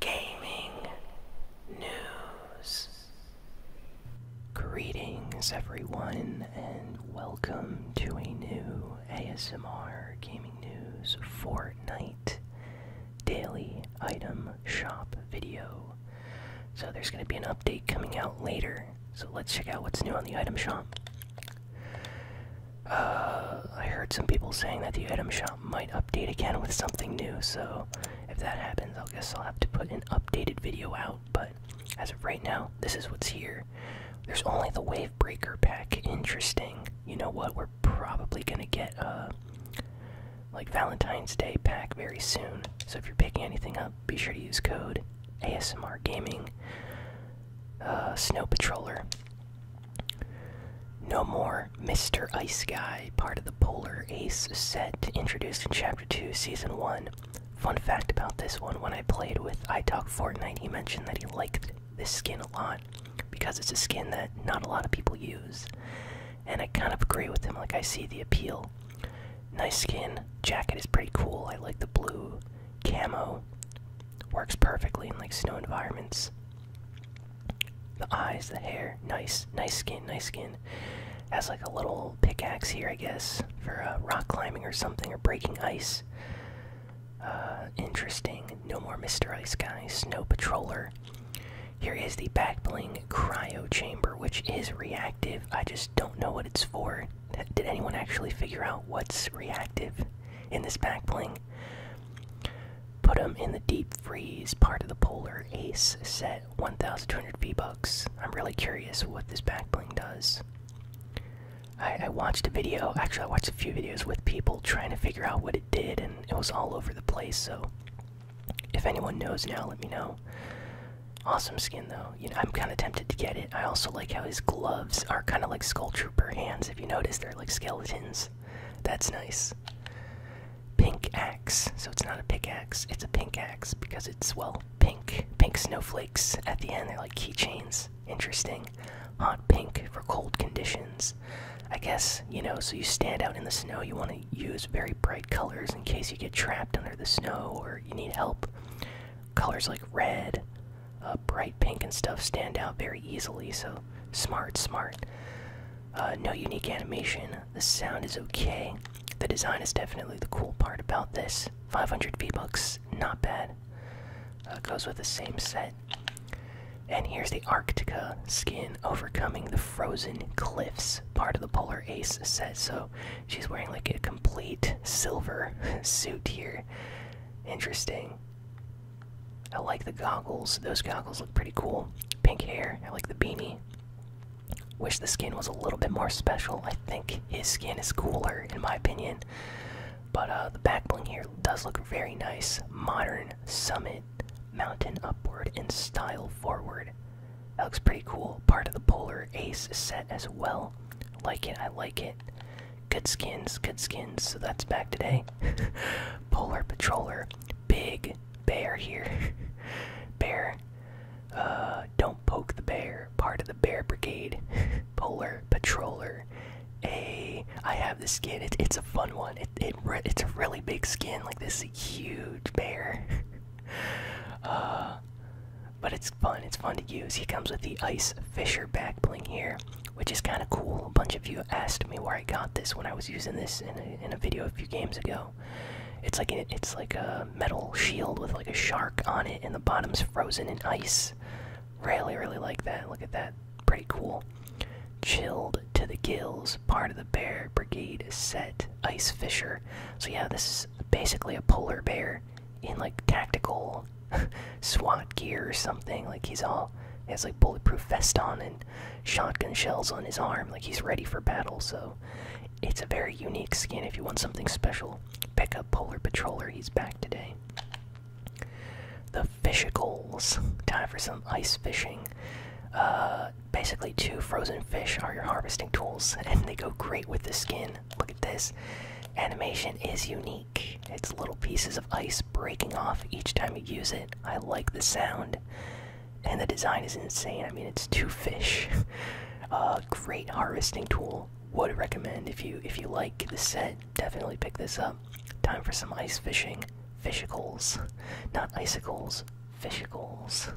gaming news. Greetings, everyone, and welcome to a new ASMR Gaming News Fortnite Daily Item Shop video. So, there's going to be an update coming out later, so let's check out what's new on the item shop. Uh, I heard some people saying that the item shop might update again with something new. So if that happens, I guess I'll have to put an updated video out. But as of right now, this is what's here. There's only the Wave Breaker pack. Interesting. You know what? We're probably gonna get a like Valentine's Day pack very soon. So if you're picking anything up, be sure to use code ASMR Gaming. Uh, Snow Patroller. No more Mr. Ice Guy, part of the Polar Ace set introduced in Chapter 2, Season 1. Fun fact about this one when I played with I Fortnite, he mentioned that he liked this skin a lot because it's a skin that not a lot of people use. And I kind of agree with him, like, I see the appeal. Nice skin, jacket is pretty cool. I like the blue camo, works perfectly in like snow environments. The eyes, the hair, nice, nice skin, nice skin. Has like a little pickaxe here, I guess, for uh, rock climbing or something, or breaking ice. Uh, interesting. No more Mr. Ice Guy, Snow Patroller. Here is the back bling cryo chamber, which is reactive. I just don't know what it's for. Did anyone actually figure out what's reactive in this back Put him in the deep freeze part of the polar ace set 1200 V-Bucks. I'm really curious what this back bling does. I, I watched a video, actually I watched a few videos with people trying to figure out what it did and it was all over the place, so if anyone knows now, let me know. Awesome skin though. You know, I'm kinda tempted to get it. I also like how his gloves are kinda like Skull Trooper hands, if you notice, they're like skeletons. That's nice pink axe. So it's not a pickaxe, it's a pink axe because it's, well, pink. Pink snowflakes at the end, they're like keychains. Interesting. Hot pink for cold conditions. I guess, you know, so you stand out in the snow, you want to use very bright colors in case you get trapped under the snow or you need help. Colors like red, uh, bright pink, and stuff stand out very easily, so smart, smart. Uh, no unique animation. The sound is okay. The design is definitely the cool part about this. 500 V-Bucks, not bad. Uh, goes with the same set. And here's the Arctica skin overcoming the frozen cliffs, part of the Polar Ace set. So she's wearing like a complete silver suit here. Interesting. I like the goggles. Those goggles look pretty cool. Pink hair. I like the beanie. Wish the skin was a little bit more special. I think his skin is cooler, in my opinion. But uh, the back bling here does look very nice. Modern summit, mountain upward, and style forward. That looks pretty cool. Part of the Polar Ace set as well. Like it, I like it. Good skins, good skins. So that's back today. Polar Patroller big bear here. bear, uh, don't poke the bear. Part of the bear brigade. Polar patroller. A. I have the skin. It, it's a fun one. It, it it's a really big skin. Like this huge bear. uh, but it's fun. It's fun to use. He comes with the ice fisher back bling here which is kind of cool. A bunch of you asked me where I got this when I was using this in a, in a video a few games ago. It's like it's like a metal shield with like a shark on it, and the bottom's frozen in ice. Really, really like that. Look at that, pretty cool. Chilled to the gills, part of the bear brigade set ice fisher. So yeah, this is basically a polar bear in like tactical SWAT gear or something. Like he's all he has like bulletproof vest on and shotgun shells on his arm, like he's ready for battle. So it's a very unique skin. If you want something special, pick up Polar Patroller. He's back today. The fishicles. Time for some ice fishing. Uh, basically, two frozen fish are your harvesting tools, and they go great with the skin. Look at this. Animation is unique. It's little pieces of ice breaking off each time you use it. I like the sound, and the design is insane. I mean, it's two fish. uh, great harvesting tool. Would recommend if you if you like the set, definitely pick this up. Time for some ice fishing. Fishicles, not icicles. Fishicles.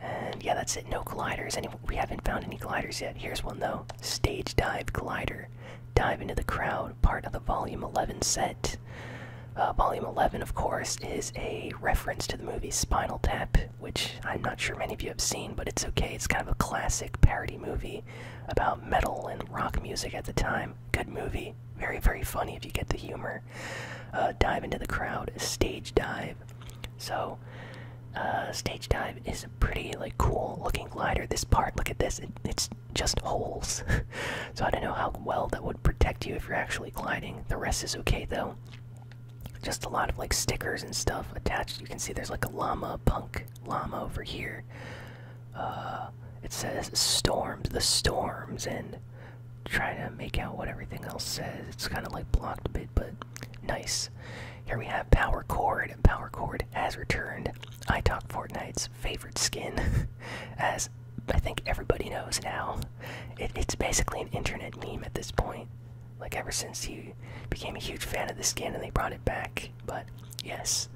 And yeah, that's it. No gliders. Any we haven't found any gliders yet. Here's one though. Stage dive glider. Dive into the Crowd, part of the Volume 11 set. Uh, volume 11, of course, is a reference to the movie Spinal Tap, which I'm not sure many of you have seen, but it's okay. It's kind of a classic parody movie about metal and rock music at the time. Good movie. Very, very funny if you get the humor. Uh, dive into the crowd, stage dive. So, uh, stage dive is a pretty like cool looking glider. This part, look at this. it's just holes. so I don't know how well that would protect you if you're actually gliding. The rest is okay though. Just a lot of like stickers and stuff attached. You can see there's like a llama, punk llama over here. Uh, it says storms, the storms, and trying to make out what everything else says. It's kind of like blocked a bit, but nice. Here we have power cord. Power cord Blizzard has returned. I talk Fortnite's favorite skin, as I think everybody knows now. it's basically an internet meme at this point. Like ever since he became a huge fan of the skin and they brought it back. But yes,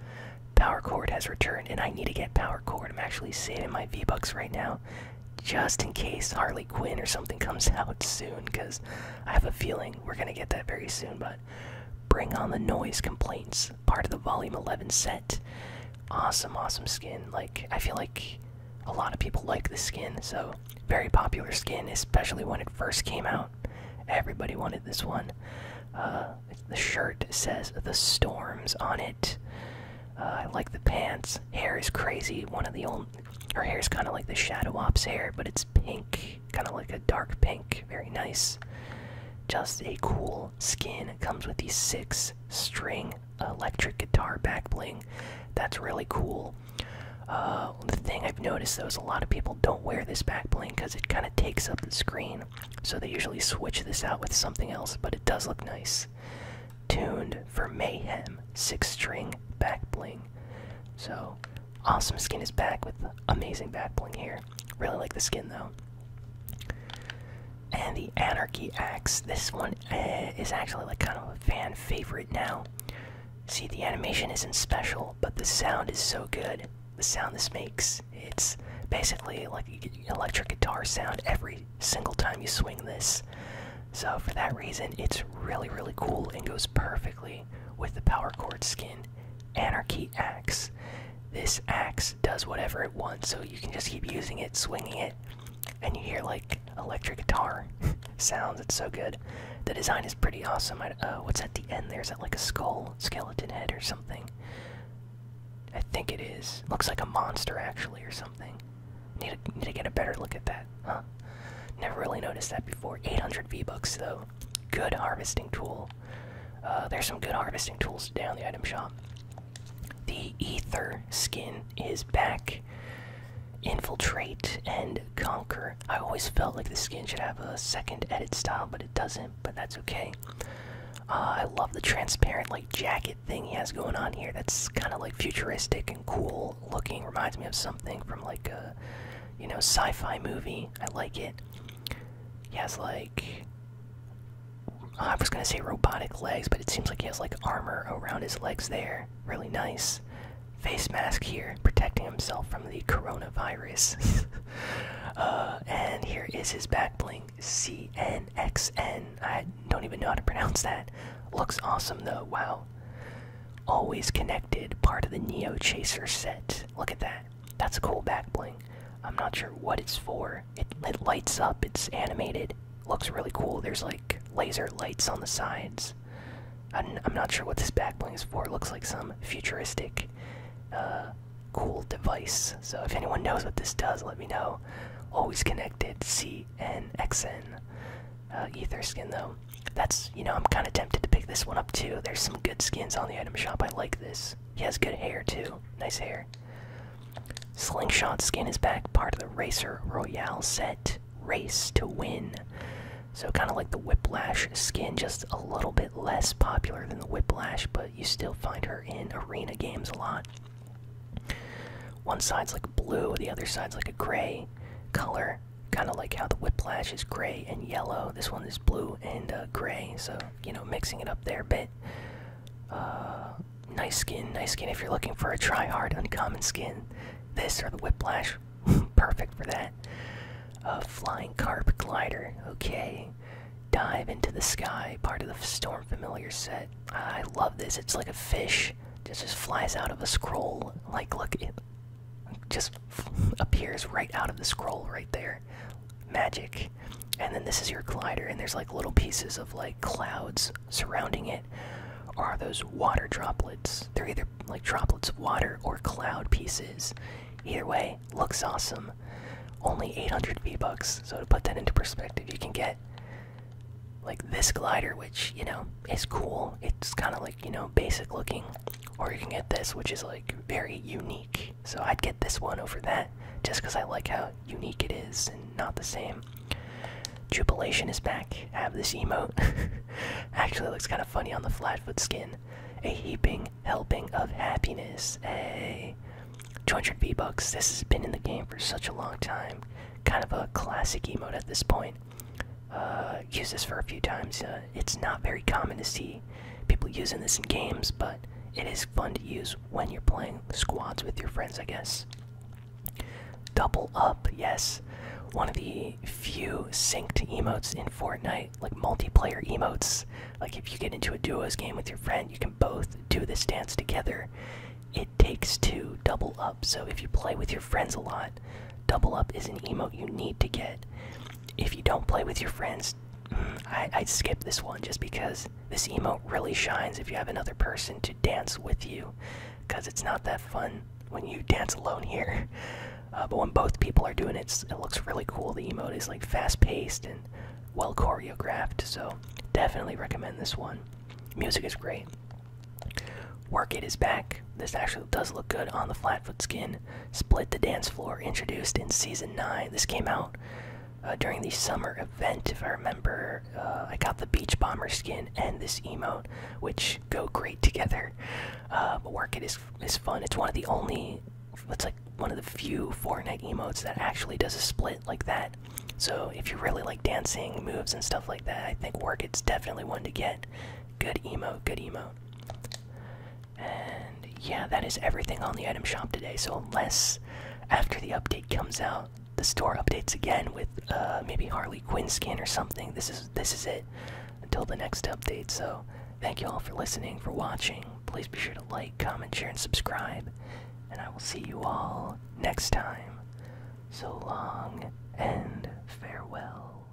Power Cord has returned, and I need to get Power Cord. I'm actually saving my V Bucks right now, just in case Harley Quinn or something comes out soon, because I have a feeling we're gonna get that very soon. But Bring on the noise complaints. Part of the Volume 11 set. Awesome, awesome skin. Like, I feel like a lot of people like the skin, so very popular skin, especially when it first came out. Everybody wanted this one. Uh, the shirt says the storms on it. Uh, I like the pants. Hair is crazy. One of the old. Her hair is kind of like the Shadow Ops hair, but it's pink. Kind of like a dark pink. Very nice. Just a cool skin comes with the six string electric guitar back bling. That's really cool. Uh, the thing I've noticed though is a lot of people don't wear this back bling because it kind of takes up the screen. So they usually switch this out with something else, but it does look nice. Tuned for Mayhem, six string back bling. So awesome skin is back with amazing back bling here. Really like the skin though. And the Anarchy Axe. This one eh, is actually like kind of a fan favorite now. See, the animation isn't special, but the sound is so good. The sound this makes. It's basically like an electric guitar sound every single time you swing this. So, for that reason, it's really, really cool and goes perfectly with the power chord skin. Anarchy Axe. This axe does whatever it wants, so you can just keep using it, swinging it, and you hear like electric guitar sounds. It's so good. The design is pretty awesome. Uh, what's at the end there? Is that like a skull, skeleton head, or something? I think it is. Looks like a monster actually, or something. Need to, need to get a better look at that, huh? Never really noticed that before. 800 V bucks though. Good harvesting tool. Uh, there's some good harvesting tools down the item shop. The ether skin is back. Infiltrate and conquer. I always felt like the skin should have a second edit style, but it doesn't. But that's okay. Uh, I love the transparent like jacket thing he has going on here. That's kind of like futuristic and cool looking. Reminds me of something from like a you know sci-fi movie. I like it. He has like. I was gonna say robotic legs, but it seems like he has like armor around his legs there. Really nice. Face mask here, protecting himself from the coronavirus. Uh, and here is his back bling, CNXN. don't even know how to pronounce that. Looks awesome though, wow. Always connected, part of the Neo Chaser set. Look at that. That's a cool back bling. I'm not sure what it's for. It, it lights up, it's animated, looks really cool. There's like laser lights on the sides. I'm, not sure what this back bling is for. It looks like some futuristic, uh, cool device. So if anyone knows what this does, let me know. Always connected, CNXN. Uh, ether skin though. That's, you know, I'm kind of tempted to pick this one up too. There's some good skins on the item shop. I like this. He has good hair too. Nice hair. Slingshot skin is back, part of the Racer Royale set. Race to win. So kind of like the Whiplash skin, just a little bit less popular than the Whiplash, but you still find her in arena games a lot. One side's like blue, the other side's like a gray color, kind of like how the Whiplash is gray and yellow. This one is blue and uh, gray, so you know, mixing it up there a bit. Uh, nice skin, nice skin. If you're looking for a try hard uncommon skin, this or the Whiplash, perfect for that. Uh, flying Carp Glider, okay. Dive into the sky, part of the Storm Familiar set. I love this. It's like a fish, just just flies out of a scroll. Like look, it just appears right out of the scroll right there magic and then this is your glider and there's like little pieces of like clouds surrounding it are those water droplets they're either like droplets of water or cloud pieces either way looks awesome only 800 v bucks so to put that into perspective you can get like this glider which you know is cool it's kind of like you know basic looking or you can get this which is like very unique so I'd get this one over that just because I like how unique it is and not the same. Jubilation is back. have this emote. Actually, looks kind of funny on the Flatfoot skin. A heaping helping of happiness. Hey, 200 V bucks. This has been in the game for such a long time. Kind of a classic emote at this point. Uh, use this for a few times. Uh, it's not very common to see people using this in games, but it is fun to use when you're playing squads with your friends, I guess. Double up, yes. One of the few synced emotes in Fortnite, like multiplayer emotes. Like if you get into a duos game with your friend, you can both do this dance together. It takes two double up, so if you play with your friends a lot, double up is an emote you need to get. If you don't play with your friends, I, I'd skip this one just because this emote really shines if you have another person to dance with you, because it's not that fun when you dance alone here. Uh, but when both people are doing it, it looks really cool. The emote is like fast paced and well choreographed, so definitely recommend this one. Music is great. Work It is back. This actually does look good on the Flatfoot skin. Split the Dance Floor, introduced in season 9. This came out uh, during the summer event, if I remember. Uh, I got the Beach Bomber skin and this emote, which go great together. Uh, but Work It is, is fun. It's one of the only, it's like one of the few Fortnite emotes that actually does a split like that. So if you really like dancing moves and stuff like that, I think Work It's definitely one to get. Good emote, good emote. And yeah, that is everything on the item shop today. So, unless after the update comes out, the store updates again with uh, maybe Harley Quinn skin or something, this is this is it until the next update. So, thank you all for listening, for watching. Please be sure to like, comment, share, and subscribe. And I will see you all next time. So long and farewell.